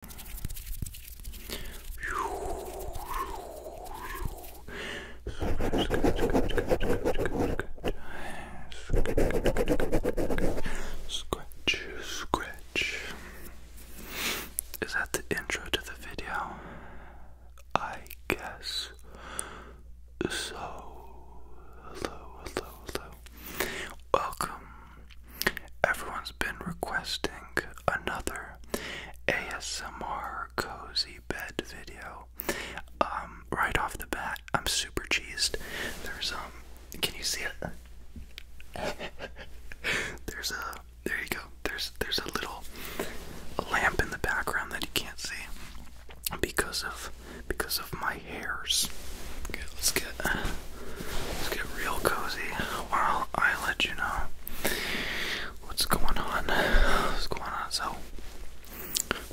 Scratch, scratch. Is that the intro to the video? I guess so. Hello, hello, hello. Welcome Everyone's been requesting another ASMR cozy bed video. Um, right off the bat, I'm super cheesed. There's um, can you see it? there's a there you go. There's there's a little lamp in the background that you can't see because of because of my hairs. Okay, let's get. Let's get real cozy while I let you know what's going on. What's going on? So,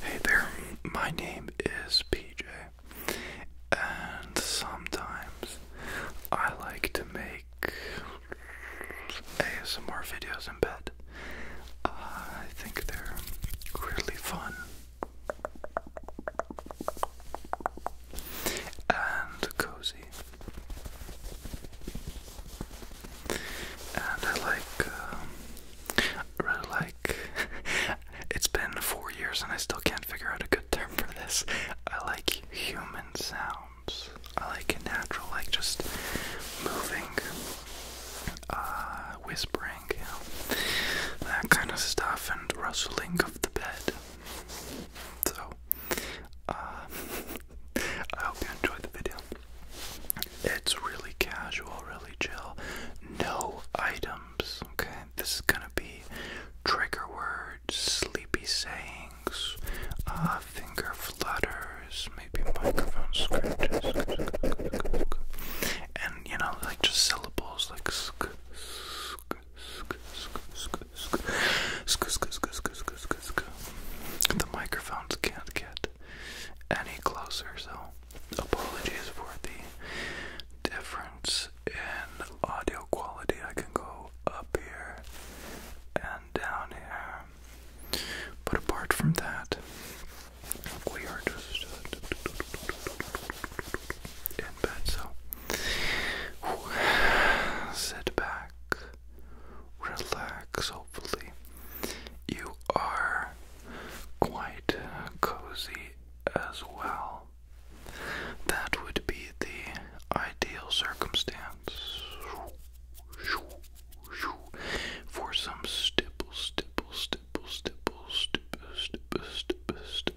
hey there, my name is PJ, and sometimes I like to make ASMR videos in bed. I think they're really fun and cozy. And I like, um, really like. it's been four years and I still can't figure out a good term for this. I like human sounds. I like natural, like just moving, uh, whispering, you know, that kind of stuff, and rustling of the bed. So, uh, I hope you enjoyed the video. It's really casual, really chill. No items, okay? This is gonna be trigger words, sleepy sayings, uh, finger flutters, maybe microphone scratches, and you know, like just syllables like the microphones can't get any closer, so apologies for the difference in audio quality. I can go up here and down here, but apart from that, we are just get so sit back, relax. Hopefully, you are quite cozy as well. That would be the ideal circumstance for some stipple, stipple, stipple, stipple, stipple, stipple, stipple, stipple,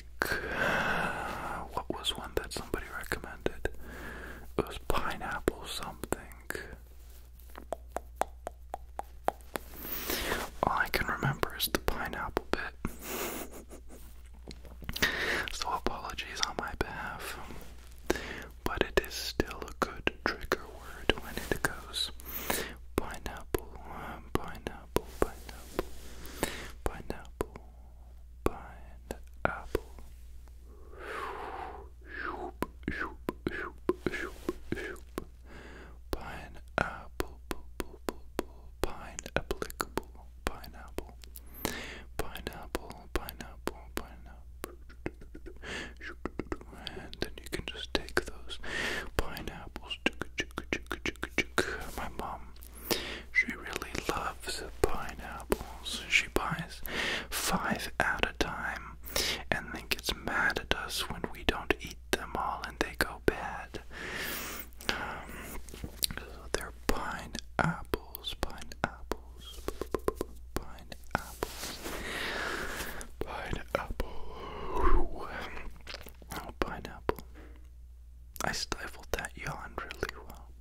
uh, what was one that somebody recommended? It was pineapple something. All I can remember is the pineapple bit. so apologies on my behalf. But it is still a good trigger word when it goes pineapple, um, pineapple pineapple, pineapple, pineapple, pineapple. Shoop, shoop, shoop, shoop, shoop. Pineapple, pineapplicable, pineapple, pineapple, pineapple, pineapple. And then you can just take those pineapples. My mom she really loves pineapples. She buys five at a time and then gets mad at us when we don't eat them all and they go bad. Um, so they're pineapples, pineapples, pineapples, pineapple, pineapple. I stifled that yawn really well.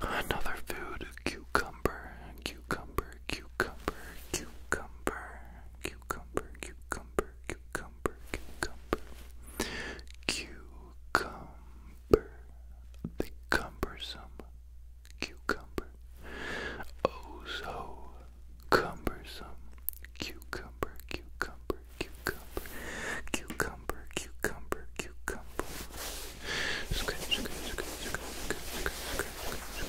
Another food cucumber, cucumber, cucumber, cucumber, cucumber, cucumber, cucumber, cucumber, cucumber, the cumbersome cucumber. Oh, so cumbersome cucumber, cucumber, cucumber, cucumber, cucumber, cucumber. Scratch, scratch, scratch, scratch, scratch, scratch, scratch, scratch, scratch,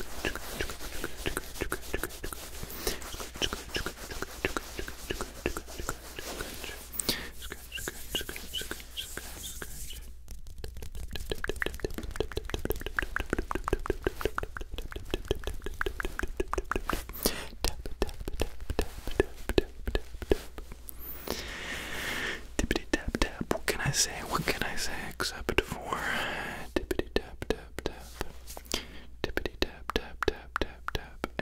tap tap tap what can I say what can I say except for tippity tap tap tap tippity tap tap tap tap tap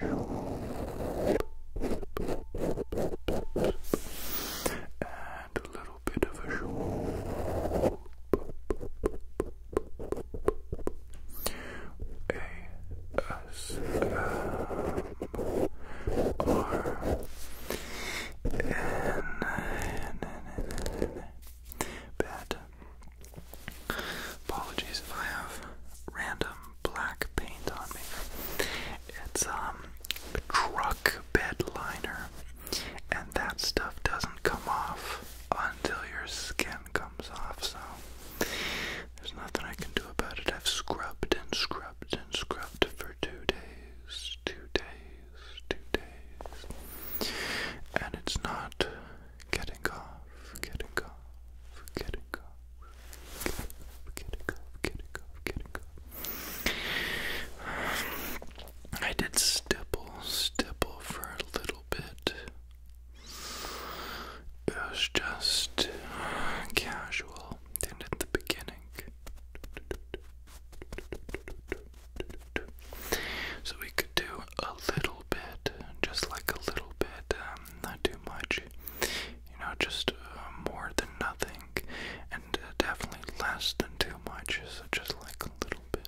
and a little bit of a bed. Apologies if I have random black paint on me. It's um truck bed liner, and that stuff doesn't come off until your skin comes off, so there's nothing I can do about it. I've scrubbed and scrubbed and scrubbed for two days, two days, two days, and it's not getting off, getting off, getting off, getting off, getting off, getting off. I did stipple, stipple for a little bit. It was just casual and at the beginning. So we could do a little bit, just like a little bit, um, not too much. You know, just uh, more than nothing, and uh, definitely less than too much, so just like a little bit.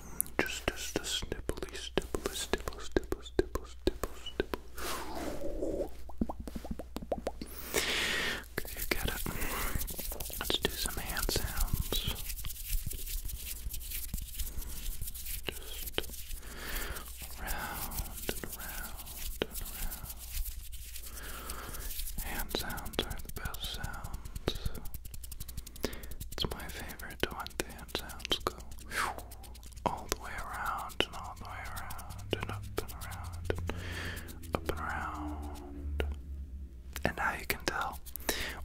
Just, just, just snipply, stipple, stipple, stipple, stipple, stipple, stipple. Okay, you get it. Let's do some hand sounds. Just round and round and round. Hand sounds are the best sounds. It's my favorite favorite hand sounds go all the way around and all the way around and up and around and up and around. And now you can tell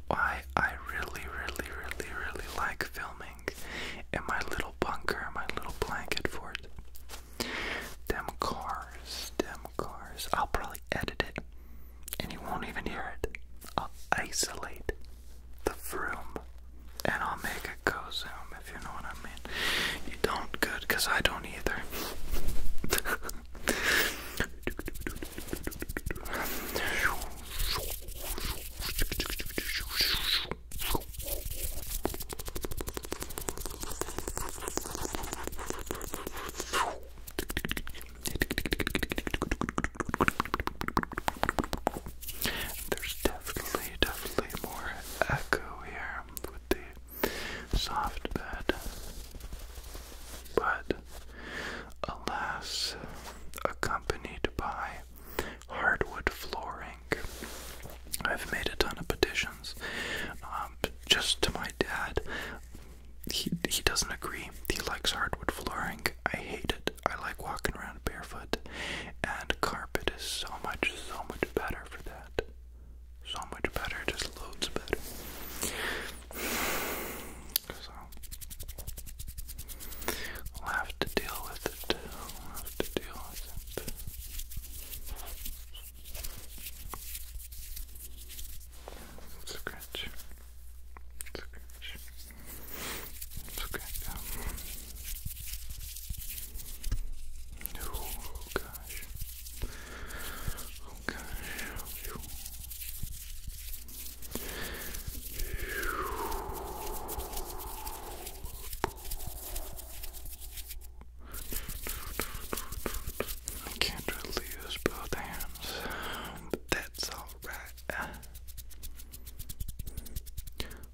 why I really, really, really, really like filming in my little bunker, my little blanket fort. Them cars, them cars. I'll probably edit it and you won't even hear it. I'll isolate the room, and I'll make it go zoom if you know what I mean. You don't good because I don't either. There's definitely, definitely more echo here with the soft bed. But alas, accompanied by hardwood flooring. I've made a ton of petitions um, just to my dad he he doesn't agree. He likes hardwood flooring. I hate it. I like walking around barefoot, and carpet is so much so much better for that. So much better, just loads better. So we'll have to deal with it. have to deal with it. Scratch. Scratch. Scratch. I can't really use both hands, but that's all Alright.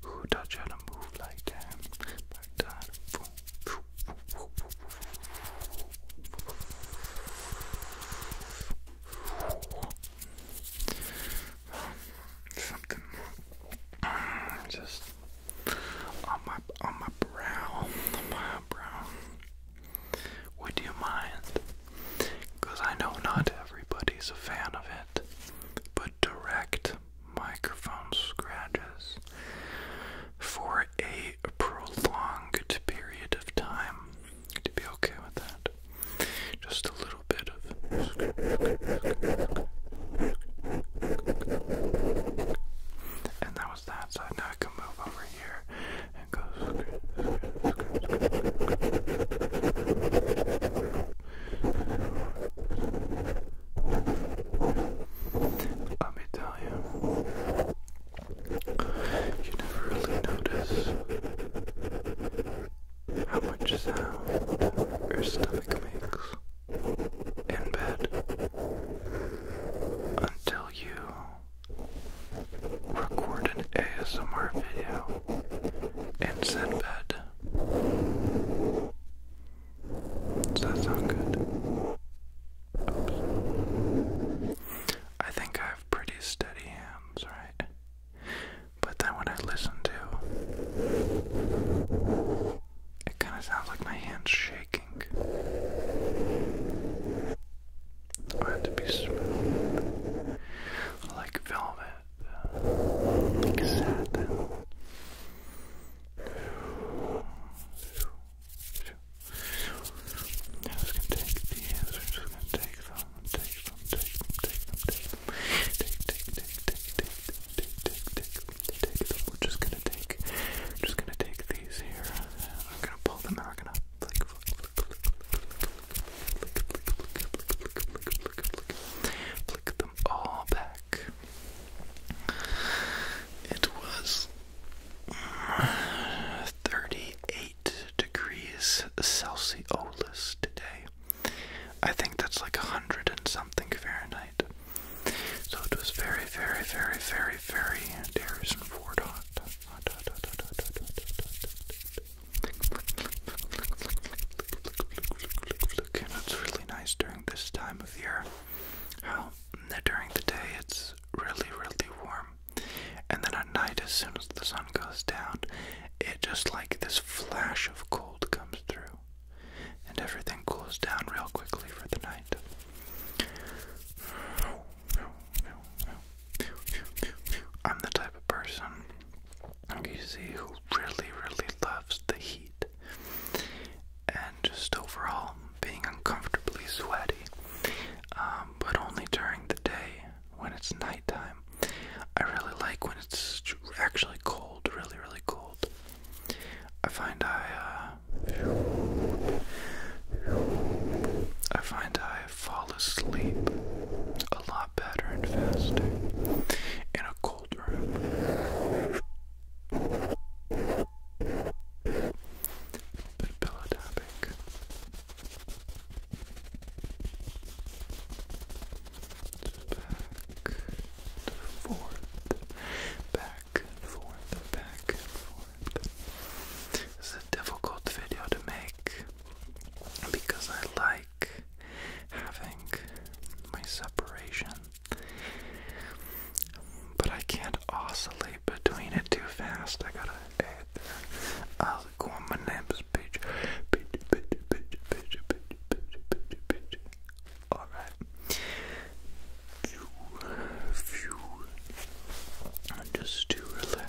Who taught you to move like that? Like that. Something mm, just on my on my brow, on my brow. Would you mind? Because I know not everybody's a fan of it, but direct microphone scratches for a prolonged period of time. Would you be okay with that? Just a little bit of. And that was that side. Now I can move over here and go scratch, scratch, scratch, scratch, Let me tell you, you never really notice how much sound your stomach makes in bed until you record an ASMR video and send bed. Does that sound good? Oops. I think I have pretty steady hands, right? But then when I listen to it kind of sounds like my hands shaking. I had to be smooth, like velvet, like satin. Now i just gonna take these. I'm just gonna take them, take them, take them, take them, take them, take, take, take, take, take, take, take, take, We're just gonna take, I'm just gonna take these here. I'm gonna pull them I'm gonna like Flick them all back. It was 38 degrees Celsius today. I think that's like a hundred and something Fahrenheit. So it was very, very, very, very, very, dare and forward hot it's really nice during this time of year. How during the day it's really, really warm, and then at night, as soon as the sun goes down, it just like this flash of cold comes through, and everything cools down real quickly for the night. I'm the type of person you see who really, really loves the heat and just overall being uncomfortably sweaty. Um, but only during the day when it's nighttime. I really like when it's actually cold, really, really cold. I find I, uh, I find I I fall asleep a lot better and faster in a cold room. bit of Back and forth, back and forth, back and forth. This is a difficult video to make because I like having my separation, but I can't oscillate between it too fast. I gotta I'll go on my name's page. Alright. Phew, phew. Just to relax.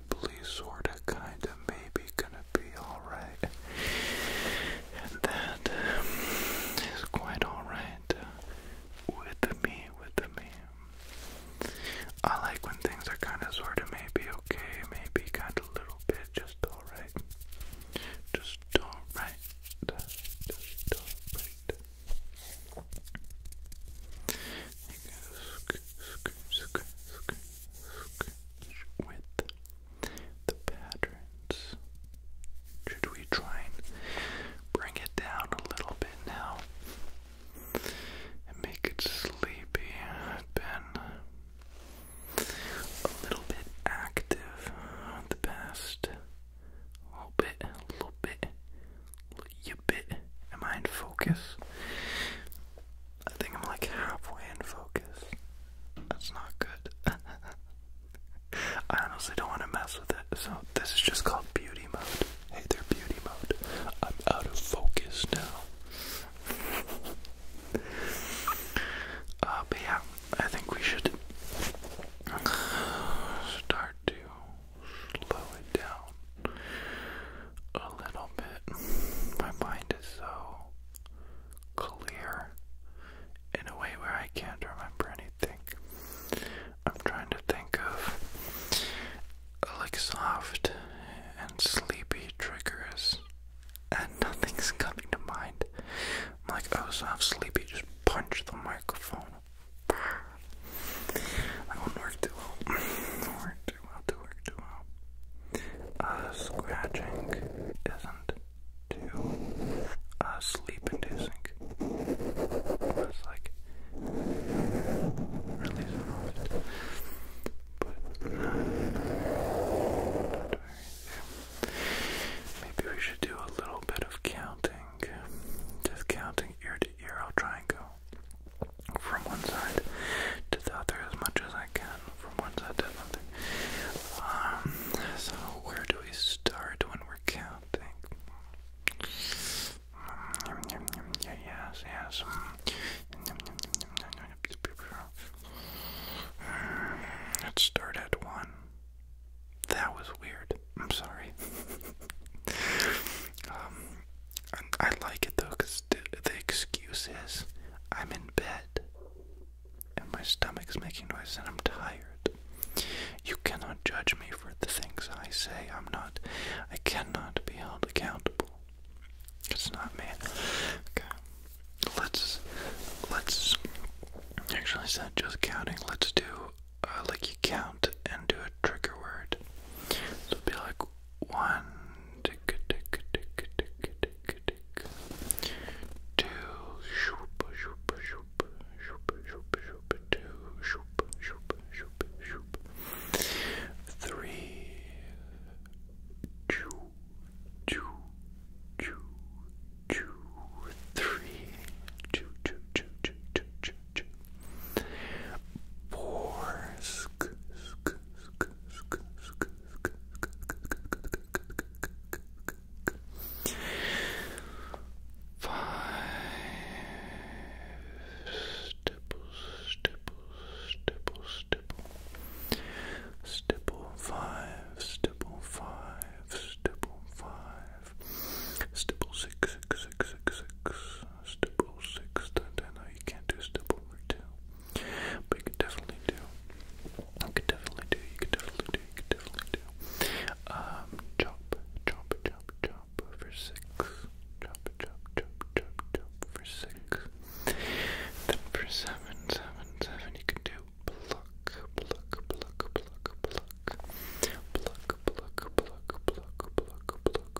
probably, sorta, kinda, maybe gonna be alright. And that is quite alright with me, with me. I like when things are kinda, sorta, maybe okay, maybe kinda little bit, just alright. Just alright. Just alright with the patterns. Should we try and bring it down a little bit now and make it sleepy? I've been a little bit active the past little bit, little bit. Am I in focus? I think I'm like halfway in focus. That's not good. I honestly don't want to mess with it, so this is just called beauty mode. Hey there, beauty mode. I'm out of focus now. Uh, but yeah, I think we should start to slow it down a little bit. My mind is so clear in a way where I can't remember anything. I'm trying to think of like soft and sleepy triggers, and nothing's coming to mind. I'm like, oh, soft, sleepy, just punch the microphone. I won't work too well. Don't work too well, don't work too well. scratching isn't too sleep inducing. It's like really soft. But Maybe we should do a little bit of counting. Just counting ear to ear. I'll try and go from one side to the other as much as I can from one side to another. Um, so where do we start when we're counting? yes, yes. Let's start at one. That was weird. I'm sorry. um, I, like it though, because the, the excuse is I'm in bed and my stomach's making noise and I'm tired. You cannot judge me for the things I say. I'm not, I cannot be held accountable. It's not me. Okay. Let's, let's, actually, said just counting, let's do uh, like you count and do a trigger word. it'd be like one Borsk. Five stipple, stipple, stipple, stipple, stipple five, stipple five, stipple five, stipple six, six, six, six, six, step 06, then I know you can't do step over 2. But you could definitely do, you could definitely do, you could definitely do, you could definitely do. Um, chop, chop, chop, chop for 6. Chop, chop, chop, chop, chop for 6. Then for 7, 7, 7, you could do pluck, pluck, pluck, pluck, pluck. Pluck, pluck, pluck, pluck, pluck, pluck,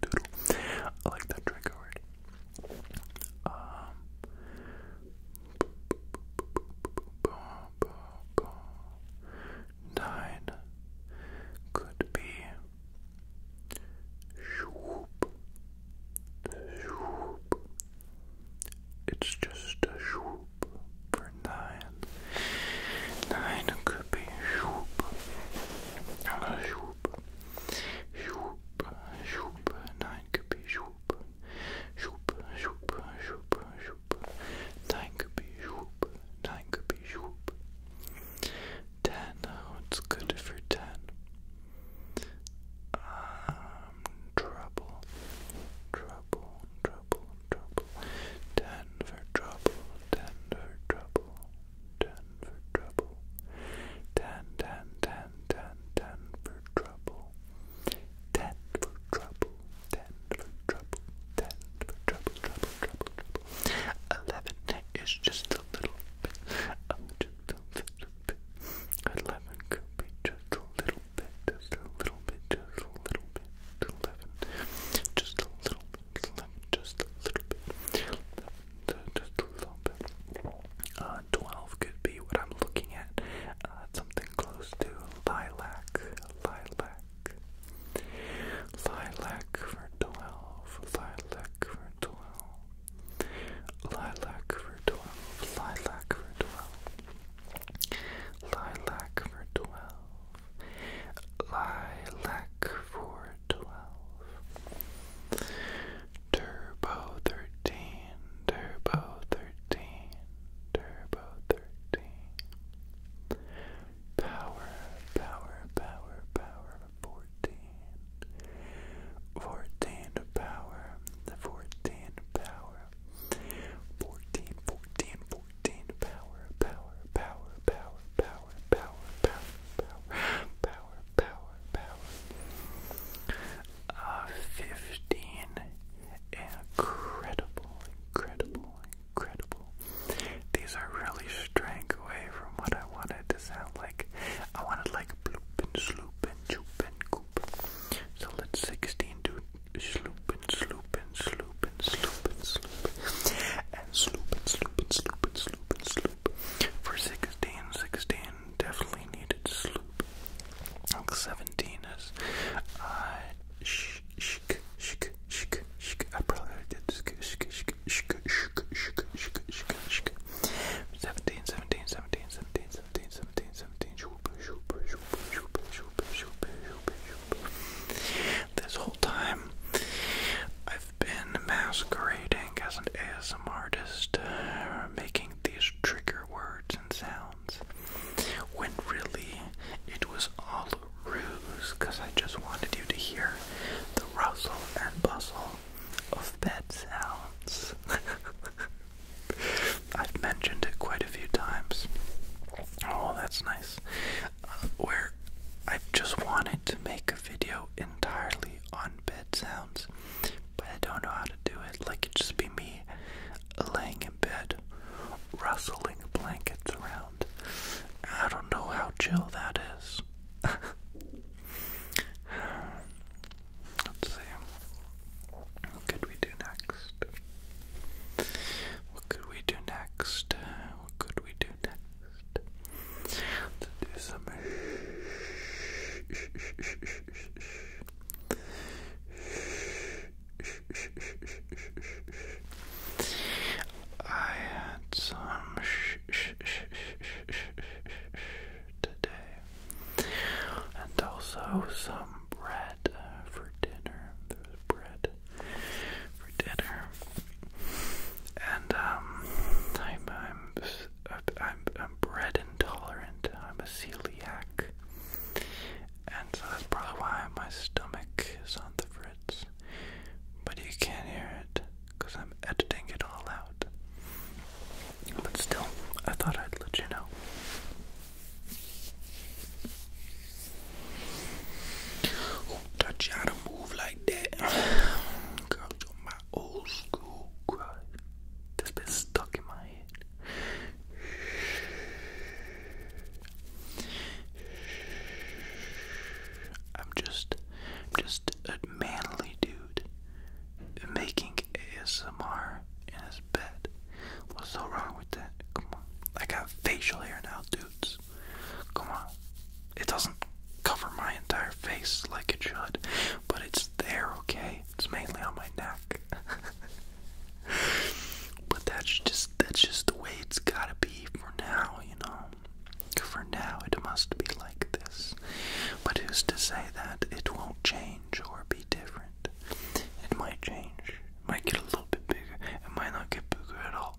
doodle I like that trigger word. Nine could be swoop, swoop. It's just a swoop for nine. Nine could be swoop, Shoop, shoop, shoop, nein, Kapi, shoop, shoop, shoop, shoop, shoop, nein, Kapi, shoop, nein, Kapi, shoop. Ten, oh, it's good for ten. Um, trouble, trouble, trouble, trouble. Ten for trouble, ten for trouble ten for trouble. Ten, ten, ten, ten, ten for trouble. Ten for trouble. Ten for trouble. Ten for trouble. Trouble, trouble, trouble. Eleven is just a little bit. Oh, just a little bit. Eleven could be just a little bit. Just a little bit. Just a little bit. Eleven. Just a little just a little bit, just a little bit. Uh, 12 could be what I'm looking at, uh, something close to lilac, lilac. Lilac for 12, lilac for 12, lilac for 12, lilac for 12, lilac for 12, Lilac for twelve. Turbo thirteen, turbo thirteen, turbo thirteen. Power, power, power, power, fourteen. Fourteen power, fourteen power. Fourteen, fourteen, fourteen power, power, power, power, power power, power, power, power, power, power. Uh, Fifteen. Incredible, incredible, incredible. These are really straying away from what I wanted to sound like. I wanted like bloop and sloop and choop and coop. So let's 16 do sloop and sloop and sloop sloop and sloop and sloop and sloop and sloop and sloop and sloop and sloop. For sixteen, sixteen definitely needed sloop. Seventeen is uh sh shk shk shk shk. I probably did shk shk shk shk shk shk shk shk shk. Seventeen, seventeen, seventeen, seventeen, seventeen, seventeen, seventeen. Shoop shoop shoop shoop shoop shoop shoop shoop. This time. I've been masquerading as an ASM artist, making these trigger words and sounds, when really it was all a ruse, because I just wanted you to hear the rustle and bustle of bed sounds. I've mentioned it quite a few times. Oh, that's nice where I just wanted to make a video entirely on bed sounds, but I don't know how to do it. Like it just be me laying in bed, rustling blankets around. I don't know how chill that is. Let's see. What could we do next? What could we do next? What could we do next? to do some I had some today and also some bread uh, for dinner. There was bread for dinner. And um, I'm I'm I'm bread intolerant. I'm a celiac, and so that's probably why my stomach is on the fritz. But you can't hear it because I'm editing it all out. But still, I thought I'd let you know. Who taught y'all to move like that? Girl, you my old school crush that's been stuck in my head. I'm just, just a manly dude making ASMR in his bed. What's so wrong with that? Come on. I got facial hair now, dudes. Come on. It doesn't cover my entire face like it should, but it's there, okay? It's mainly on my neck. but that's just that's just the way it's gotta be for now, you know. For now it must be like this. But who's to say that it won't change or be different? It might change. might get a little bit bigger. It might not get bigger at all.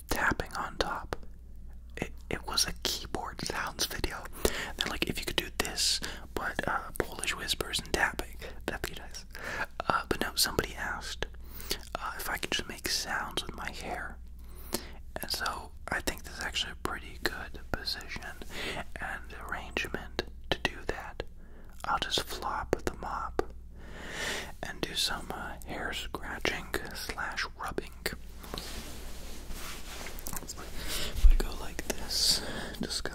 tapping on top. It it was a keyboard sounds video. they like, if you could do this, but uh, Polish whispers and tapping, that'd be nice. Uh, but no, somebody asked uh, if I could just make sounds with my hair, and so I think this is actually a pretty good position and arrangement to do that. I'll just flop the mop and do some uh, hair scratching slash rubbing. If go like this, just go.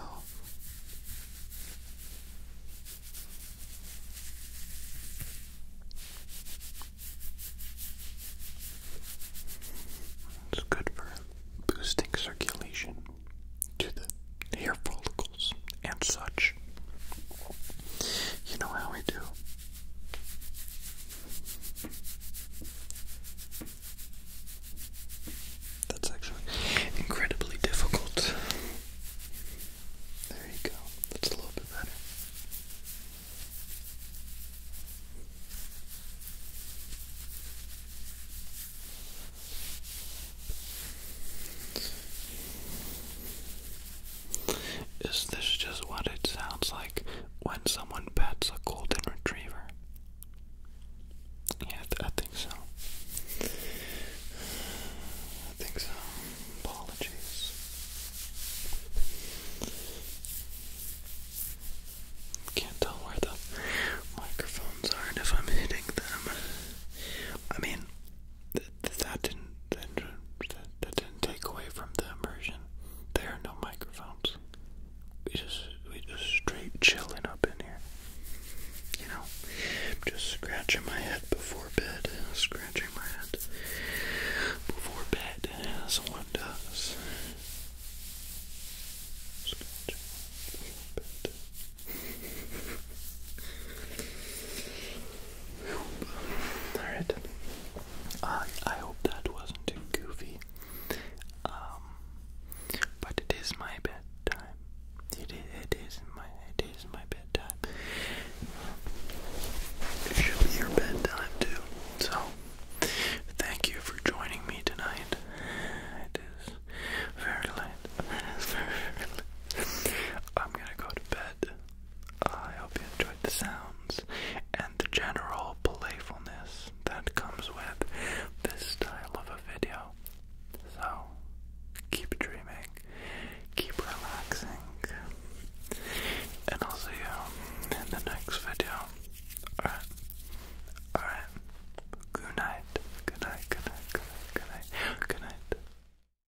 It's good for boosting circulation to the hair follicles and such. You know how we do. That's actually incredibly difficult. There you go. That's a little bit better. Is this just what it sounds like when someone pets a golden retriever? Yeah, I, think so. I think so. Apologies. Can't tell where the microphones are and if I'm hitting them. I mean, that didn't that, that didn't take away from the immersion. There are no microphones. We just we just straight chilling up in here. You know, just scratching my head before bed. Scratching my head before bed, as one does. before bed. Alright. Uh, I hope that wasn't too goofy. Um, but it is my bedtime. It is, it is my it is my bedtime. It should be your bedtime too. So thank you for joining me tonight. It is very late. I'm gonna go to bed. I hope you enjoyed the sounds and the general playfulness that comes with this style of a video. So, keep dreaming, keep relaxing, and I'll see you in the next video. Alright, alright. Good night, good night, good night, good night, good night, good night.